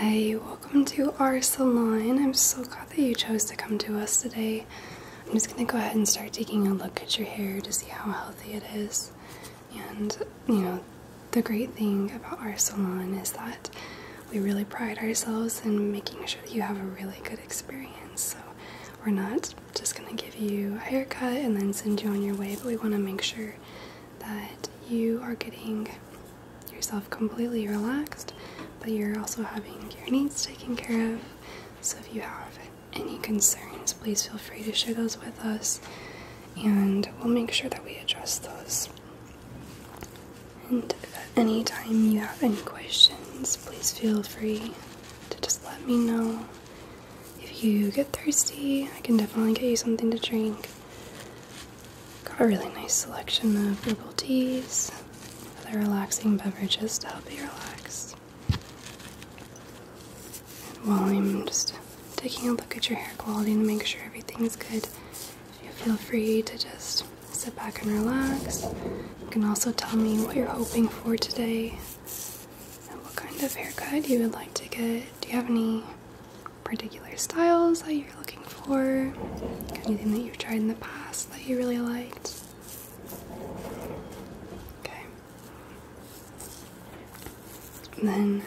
Hi, welcome to our salon. I'm so glad that you chose to come to us today. I'm just gonna go ahead and start taking a look at your hair to see how healthy it is. And you know, the great thing about our salon is that we really pride ourselves in making sure that you have a really good experience. So we're not just gonna give you a haircut and then send you on your way, but we wanna make sure that you are getting yourself completely relaxed, but you're also having your needs taken care of. So if you have any concerns, please feel free to share those with us, and we'll make sure that we address those. And if any time you have any questions, please feel free to just let me know. If you get thirsty, I can definitely get you something to drink. Got a really nice selection of herbal teas, other relaxing beverages to help you relax. while I'm just taking a look at your hair quality and make sure everything's good, you feel free to just sit back and relax. You can also tell me what you're hoping for today and what kind of haircut you would like to get. Do you have any particular styles that you're looking for, anything that you've tried in the past that you really liked. Okay. then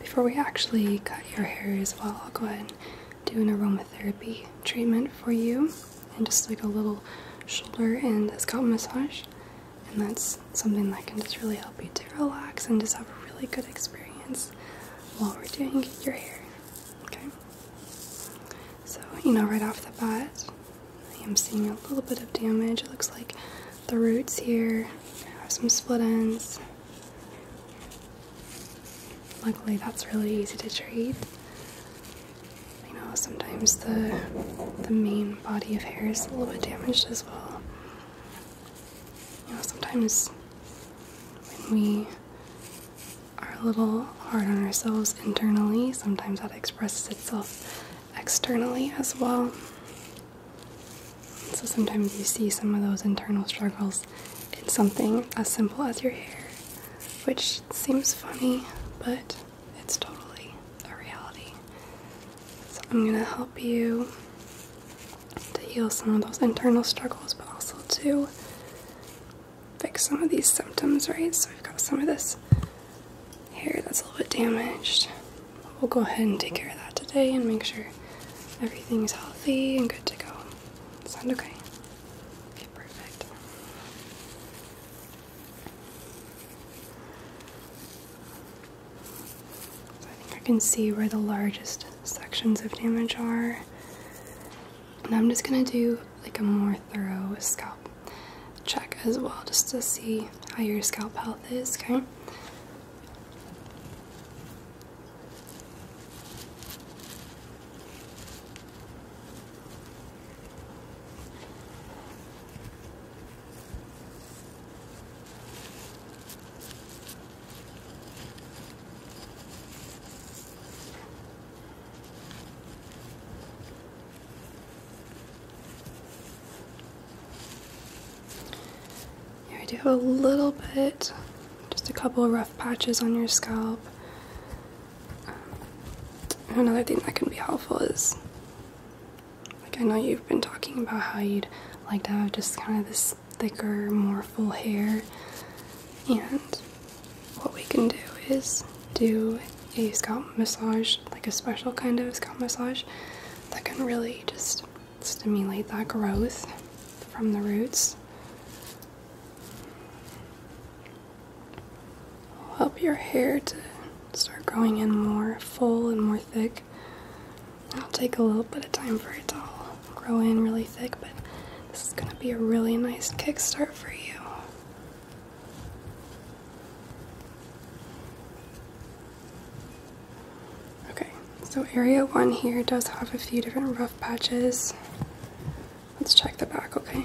before we actually cut your hair as well, I'll go ahead and do an aromatherapy treatment for you and just like a little shoulder and a scalp massage. And that's something that can just really help you to relax and just have a really good experience this while we're doing your hair. Okay? So, you know, right off the bat, I am seeing a little bit of damage. It looks like the roots here have some split ends. Luckily, that's really easy to treat. You know, sometimes the the main body of hair is a little bit damaged as well. You know, sometimes when we are a little hard on ourselves internally, sometimes that expresses itself externally as well. So sometimes you see some of those internal struggles in something as simple as your hair, which seems funny, but it's totally a reality. So I'm gonna help you to heal some of those internal struggles, but also to fix some of these symptoms, right? So we've got some of this hair that's a little bit damaged. We'll go ahead and take care of that today and make sure everything's healthy and good to go. Sound okay? perfect. I think I can see where the largest sections of damage are. And I'm just gonna do like a more thorough scalp check as well, just to see how your scalp health is, okay? I do have a little bit, just a couple of rough patches on your scalp. Um, another thing that can be helpful is like I know you've been talking about how you'd like to have just kind of this thicker, more full hair. And what we can do is do a scalp massage, like a special kind of scalp massage that can really just stimulate that growth from the roots. help your hair to start growing in more full and more thick. It'll take a little bit of time for it to all grow in really thick, but this is going to be a really nice kickstart for you. Okay, so area one here does have a few different rough patches. Let's check the back, okay?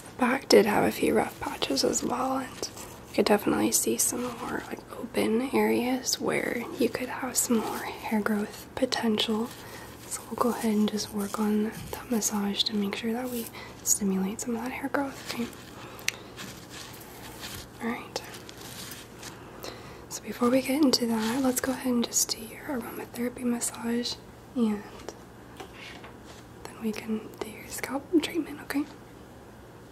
The back did have a few rough patches as well, you could definitely see some more like open areas where you could have some more hair growth potential. So we'll go ahead and just work on that massage to make sure that we stimulate some of that hair growth. Okay? Alright. So before we get into that, let's go ahead and just do your aromatherapy massage and then we can do your scalp treatment, okay?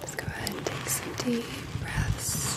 Just go ahead and take some deep breaths.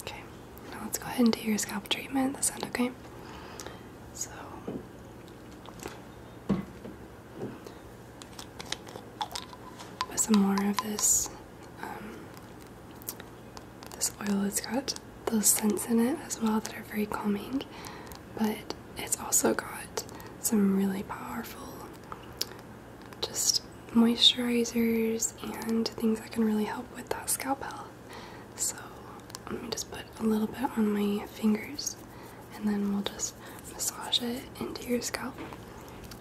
Okay, now let's go ahead and do your scalp treatment. That sound okay? So put some more of this um, this oil. It's got those scents in it as well that are very calming, but it's also got some really powerful just moisturizers and things that can really help with that scalp health. So let me just put a little bit on my fingers and then we'll just massage it into your scalp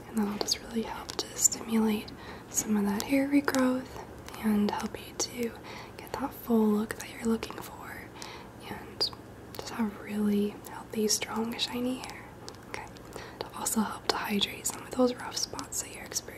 and that'll just really help to stimulate some of that hair regrowth and help you to get that full look that you're looking for and just have really healthy, strong, shiny hair. Okay, to also help to hydrate some of those rough spots that you're experiencing.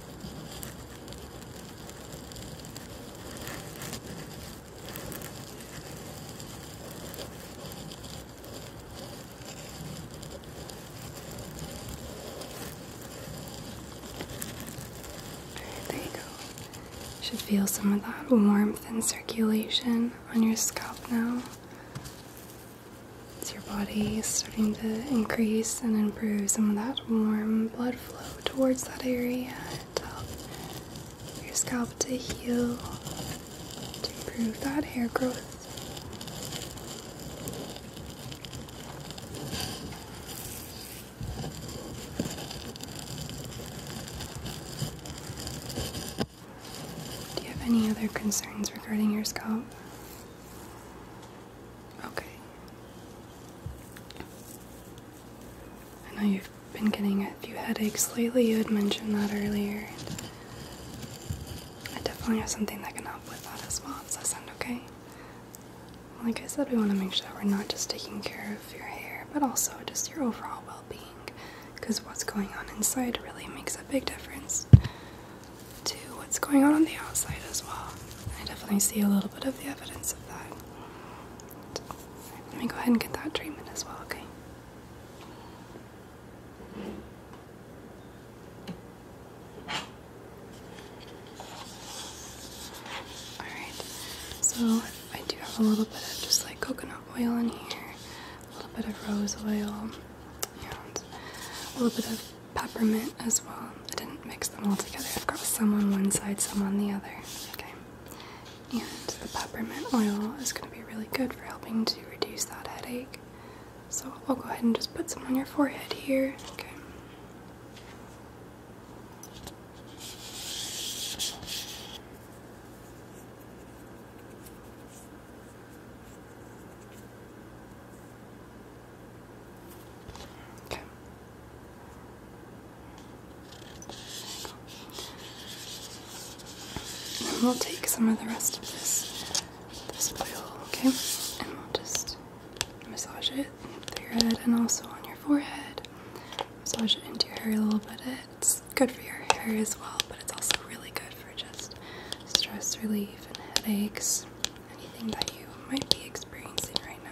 There you go. should feel some of that warmth and circulation on your scalp now. Is your body starting to increase and improve some of that warm blood flow towards that area to help um, your scalp to heal, to improve that hair growth? Do you have any other concerns regarding your scalp? Okay. I know you've been getting a few headaches lately. You had mentioned that earlier. I definitely have something that can help with that as well. Does that sound okay? Like I said, we want to make sure that we're not just taking care of your hair, but also just your overall well being. Because what's going on inside really makes a big difference to what's going on on the outside as well. I definitely see a little bit of the evidence of that. let me go ahead and get that dream in as well, okay? Alright, so I do have a little bit of just like coconut oil in here, a little bit of rose oil, and a little bit of peppermint as well. I didn't mix them all together. I've got some on one side, some on the other. Okay. And the peppermint oil is going to be really good for helping to reduce that headache. So I'll go ahead and just put some on your forehead here. Okay. Okay. And we'll take some of the rest of this this oil, okay? And we'll just massage it through your head and also on your forehead. Massage it into your hair a little bit. It's good for your hair as well, but it's also really good for just stress relief and headaches anything that you might be experiencing right now.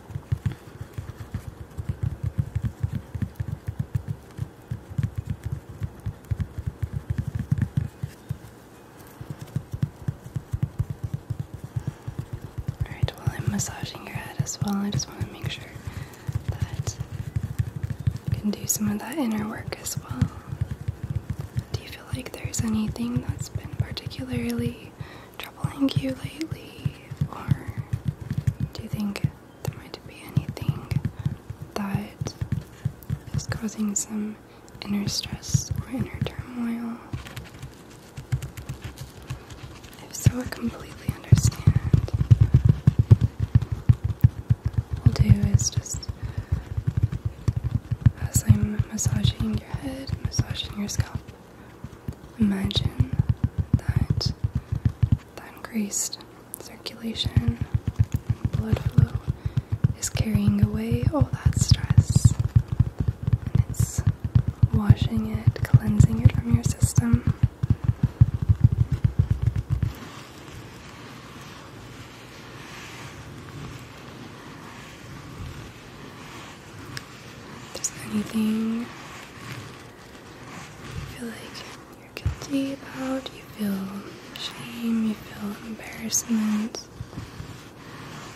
Alright, while I'm massaging your head as well, I just want to make sure that you can do some of that inner work as well. Do you feel like there's anything that's been particularly troubling you lately, or do you think there might be anything that is causing some inner stress or inner turmoil. If so, I completely understand. What we'll do is just as I'm massaging your head, massaging your scalp, imagine that that increased circulation and blood flow is carrying away all that stress it's washing it, cleansing it from your system. If there's anything you feel like you're guilty about, you feel shame, you feel embarrassment,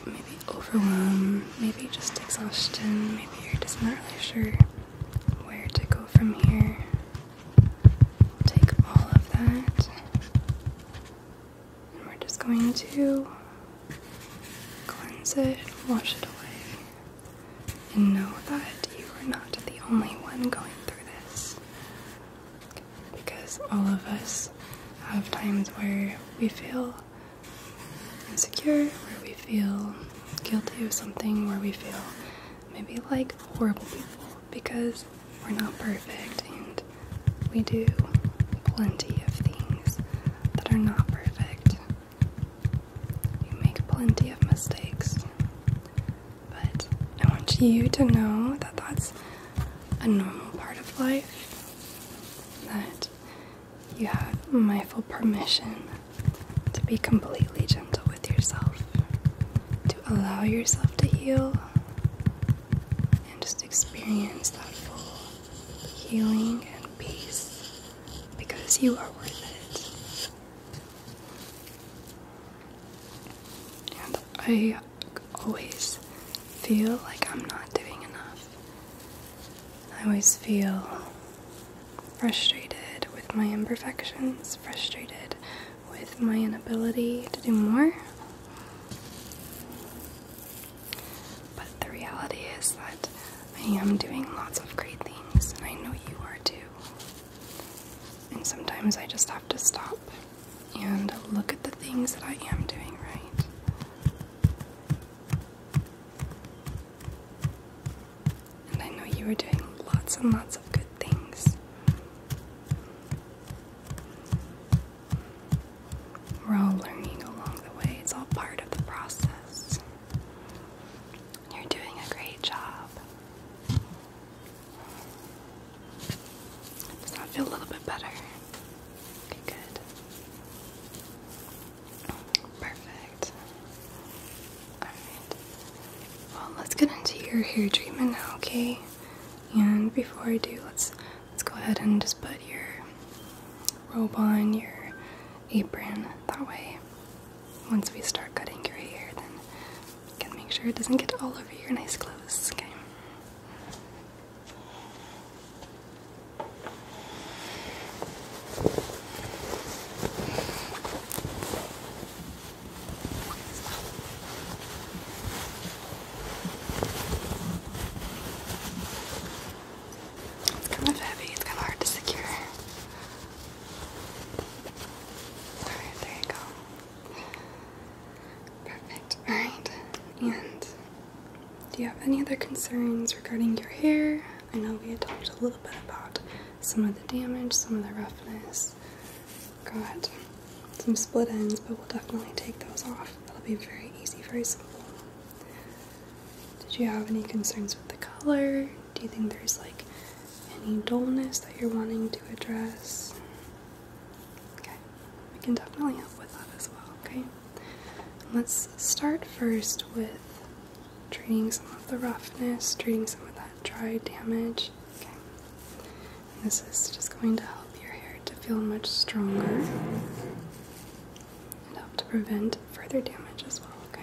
maybe overwhelm, maybe just exhaustion, maybe you're just not really sure where to go from here. Take all of that, and we're just going to cleanse it, wash it away and know that you are not the only one going through this. Because all of us have times where we feel insecure, where we feel guilty of something, where we feel maybe like horrible people because we're not perfect and we do plenty of things that are not perfect you make plenty of mistakes, but I want you to know that that's a normal part of life, that you have my full permission to be completely gentle with yourself, to allow yourself to heal, and just experience that full healing and peace because you are worth it. And I always feel like I'm not doing enough. I always feel frustrated with my imperfections, frustrated with my inability to do more. But the reality is that I am doing lots of great things, and I know you are too. And sometimes I just have to stop and look at the things that I am doing right. And I know you are doing lots and lots of good things. We're all learning along the way, it's all part of the process. You're doing a great job. Does that feel a little bit better? Okay, good. Perfect. Alright. Well, let's get into your hair treatment now, okay? And before I do, let's let's go ahead and just put your robe on, your apron, that way once we start cutting your hair, then you can make sure it doesn't get all over your nice clothes, okay? It's kind of heavy, it's kind of hard to secure. Alright, there you go. Perfect. Alright, and do you have any other concerns regarding your hair? I know we had talked a little bit about some of the damage, some of the roughness. Got some split ends, but we'll definitely take those off. That'll be very easy, very simple. Did you have any concerns with the color? Do you think there's like any dullness that you're wanting to address? Okay, we can definitely help with that as well, okay? let's start first with treating some of the roughness, treating some of that dry damage. Okay, this is just going to help your hair to feel much stronger and help to prevent further damage as well, okay?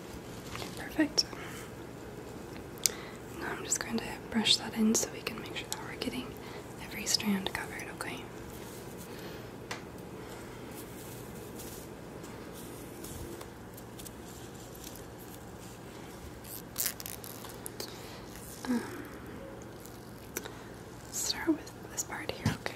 Perfect. Now I'm just going to brush that in so we can make sure that we're getting every strand covered, okay? Um, start with this part here, okay?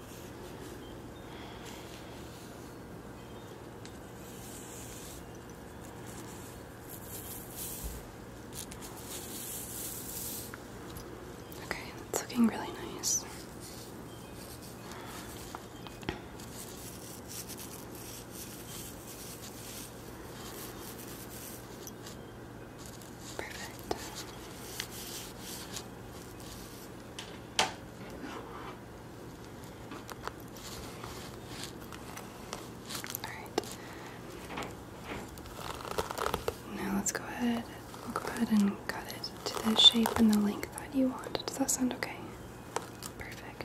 Okay, that's looking really nice. Perfect. Alright. Now let's go ahead. go ahead and cut it to the shape and the length that you want. Does that sound okay? Perfect.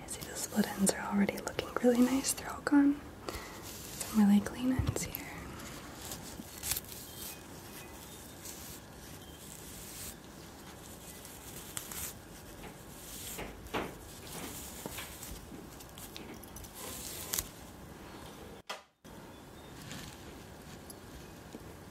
Yeah, see the split ends are already looking really nice. They're all gone. really clean ends here.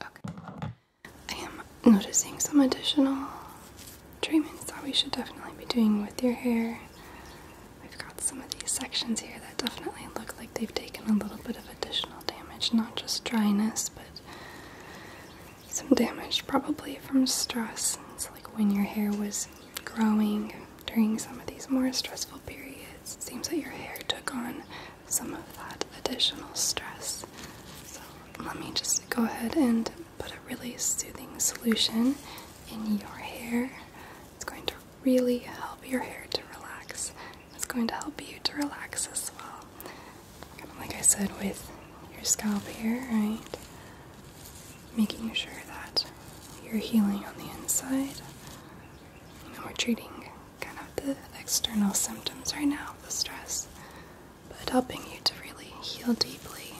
Okay. I am noticing some additional treatments that we should definitely be doing with your hair. We've got some of these sections here that definitely look like they've taken a little bit of additional damage, not just dryness, but some damage probably from stress. It's like when your hair was growing during some of these more stressful periods. It seems that your hair took on some of that additional stress. So let me just go ahead and put a really soothing solution in your hair. It's going to really help your hair to relax. It's going to help you to relax as well. Kind of like I said with your scalp here, right? Making sure that you're healing on the inside. You we're treating kind of the external symptoms right now the stress, but helping you to really heal deeply.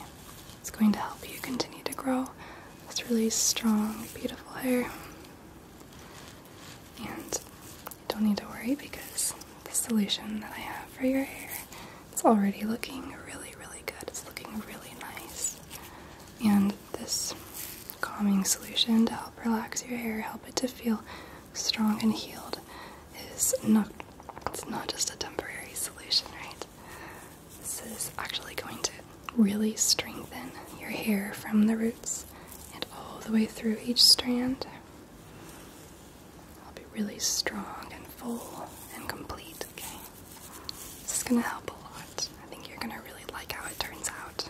It's going to help you continue to grow this really strong, beautiful hair. And you don't need to worry because the solution that I have for your hair it's already looking really, really good. It's looking really nice. And this calming solution to help relax your hair, help it to feel strong and healed is not it's not just a temporary solution, right? This is actually going to really strengthen your hair from the roots and all the way through each strand. It'll be really strong and full and complete, okay? This is gonna help a lot. I think you're gonna really like how it turns out.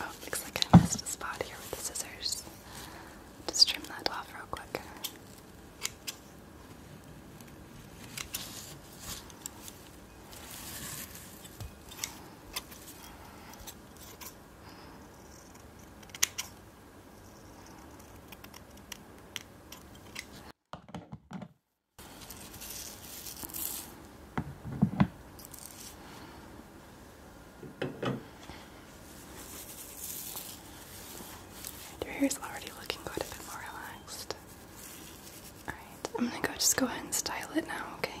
Oh, looks like I missed a spot here with the scissors. Just trim that off real quick. Your hair is already looking quite a bit more relaxed. Alright, I'm gonna go just go ahead and style it now, okay?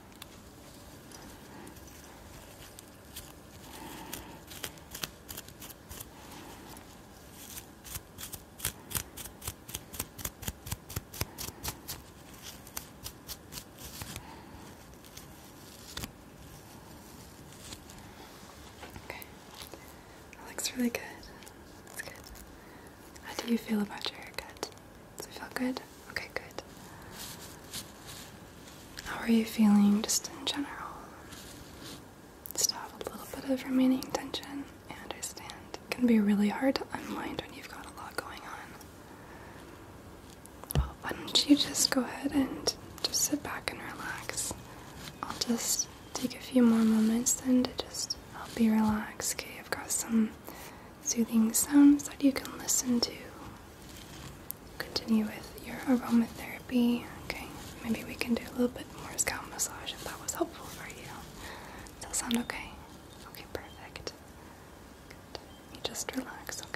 Okay, that looks really good. That's good. How do you feel about your haircut? Does it feel good? Okay, good. How are you feeling just in general? Still a little bit of remaining tension. I understand. It can be really hard to unwind when you've got a lot going on. Well, why don't you just go ahead and just sit back and relax? I'll just take a few more moments then to just help you relax. Okay, I've got some soothing sounds that you can listen to. Continue with your aromatherapy. Okay, maybe we can do a little bit more scalp massage if that was helpful for you. Does that sound okay? Okay, perfect. just relax, okay?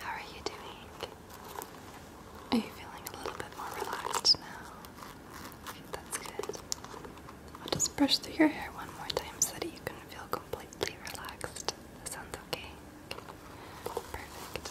How are you doing? Are you feeling a little bit more relaxed now? That's good. I'll just brush through your hair one more time so that you can feel completely relaxed. That sounds okay. okay. Perfect.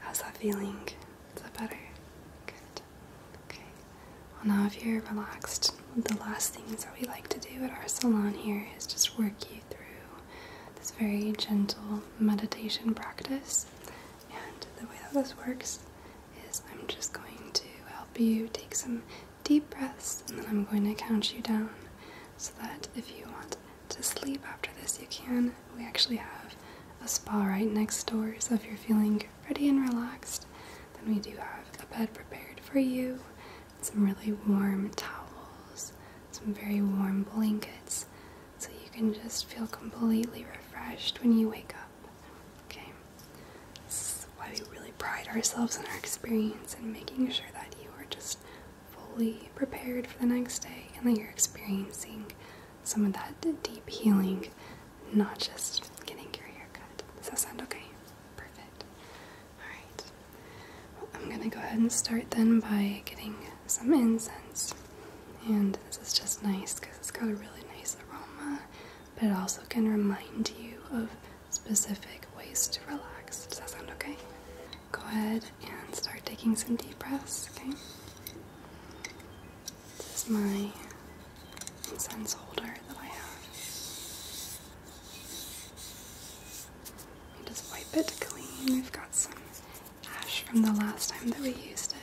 How's that feeling? Is that better? Good. Okay. Well, now if you're relaxed, the last things that we like to do at our salon here is just work you through this very gentle meditation practice. And the way that this works is I'm just going to help you take some deep breaths and then I'm going to count you down so that if you want to sleep after this, you can. We actually have a spa right next door, so if you're feeling ready and relaxed, then we do have a bed prepared for you, some really warm towels, some very warm blankets, so you can just feel completely refreshed when you wake up. Okay? This why we really pride ourselves on our experience and making sure that you are just fully prepared for the next day and that you're experiencing some of that deep healing, not just getting your hair cut. Does that sound okay? Perfect. Alright. I'm going to go ahead and start then by getting some incense. And this is just nice because it's got a really nice aroma, but it also can remind you of specific ways to relax. Does that sound okay? go ahead and start taking some deep breaths, okay? This is my incense holder that I have. Let me just wipe it clean. We've got some ash from the last time that we used it.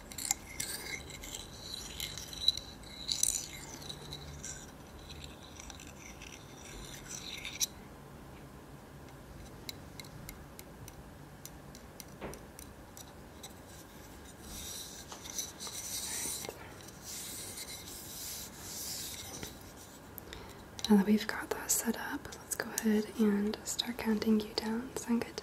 Now that we've got that set up, let's go ahead and start counting you down. Sound good?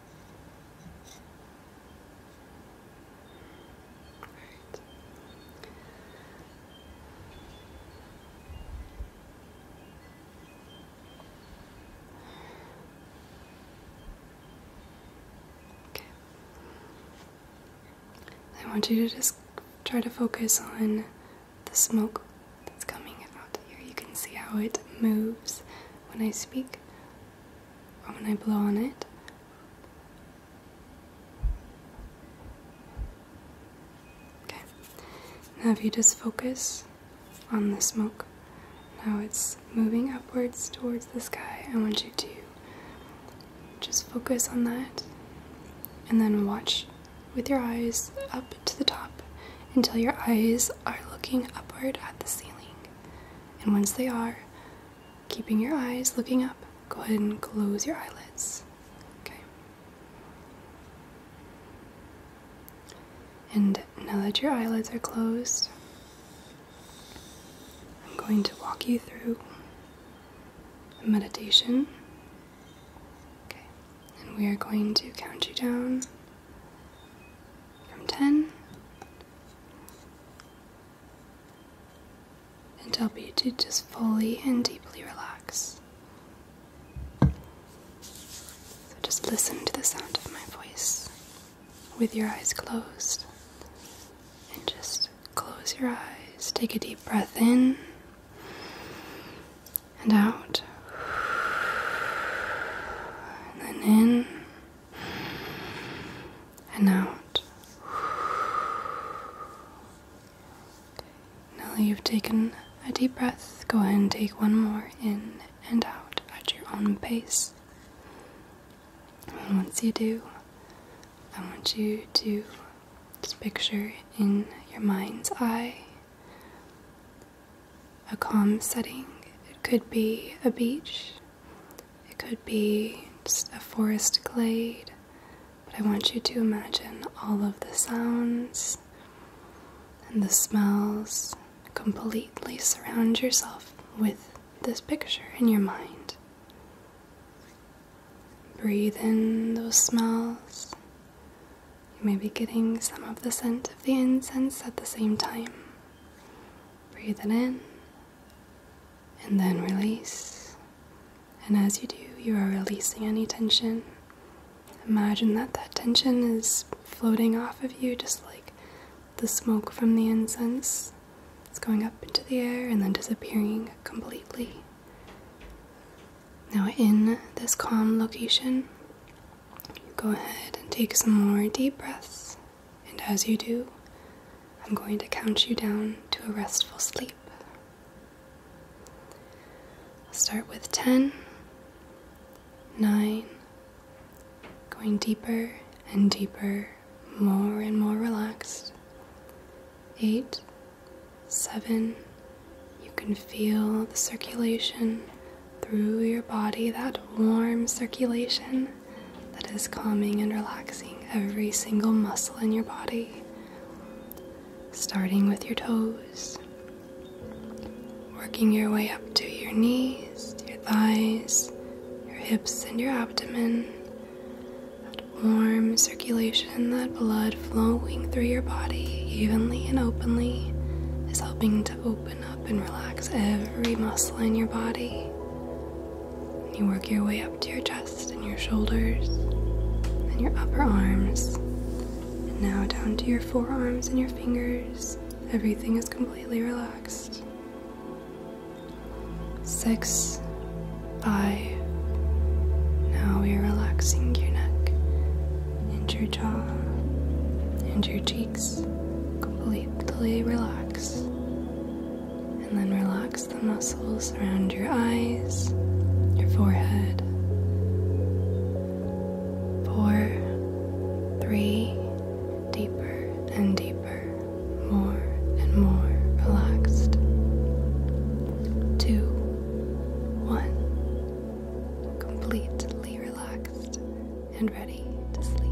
Okay. I want you to just try to focus on the smoke that's coming out here. You can see how it moves when I speak or when I blow on it. Okay. Now, if you just focus on the smoke, now it's moving upwards towards the sky. I want you to just focus on that and then watch with your eyes up to the top until your eyes are looking upward at the ceiling. And once they are, keeping your eyes looking up, go ahead and close your eyelids. Okay. And now that your eyelids are closed, I'm going to walk you through a meditation. Okay. And we are going to count you down from 10 and help you to just fully and deeply relax. So just listen to the sound of my voice with your eyes closed. And just close your eyes. Take a deep breath in and out. And then in and out. Now that you've taken a deep breath, go ahead and take one more in and out at your own pace. And once you do, I want you to just picture in your mind's eye a calm setting. It could be a beach, it could be just a forest glade, but I want you to imagine all of the sounds and the smells completely surround yourself with this picture in your mind. Breathe in those smells. You may be getting some of the scent of the incense at the same time. Breathe it in and then release. And as you do, you are releasing any tension. Imagine that that tension is floating off of you, just like the smoke from the incense. It's going up into the air and then disappearing completely. Now, in this calm location, go ahead and take some more deep breaths and as you do, I'm going to count you down to a restful sleep. I'll start with 10, 9, going deeper and deeper, more and more relaxed. 8, 7, you can feel the circulation through your body, that warm circulation that is calming and relaxing every single muscle in your body, starting with your toes, working your way up to your knees, your thighs, your hips, and your abdomen. That warm circulation, that blood flowing through your body evenly and openly is helping to open up and relax every muscle in your body you work your way up to your chest and your shoulders and your upper arms. And now down to your forearms and your fingers. Everything is completely relaxed. Six, five. Now we are relaxing your neck and your jaw and your cheeks completely relaxed. And then relax the muscles around your eyes, your forehead. Four, three, deeper and deeper, more and more relaxed. Two, one, completely relaxed and ready ready to sleep.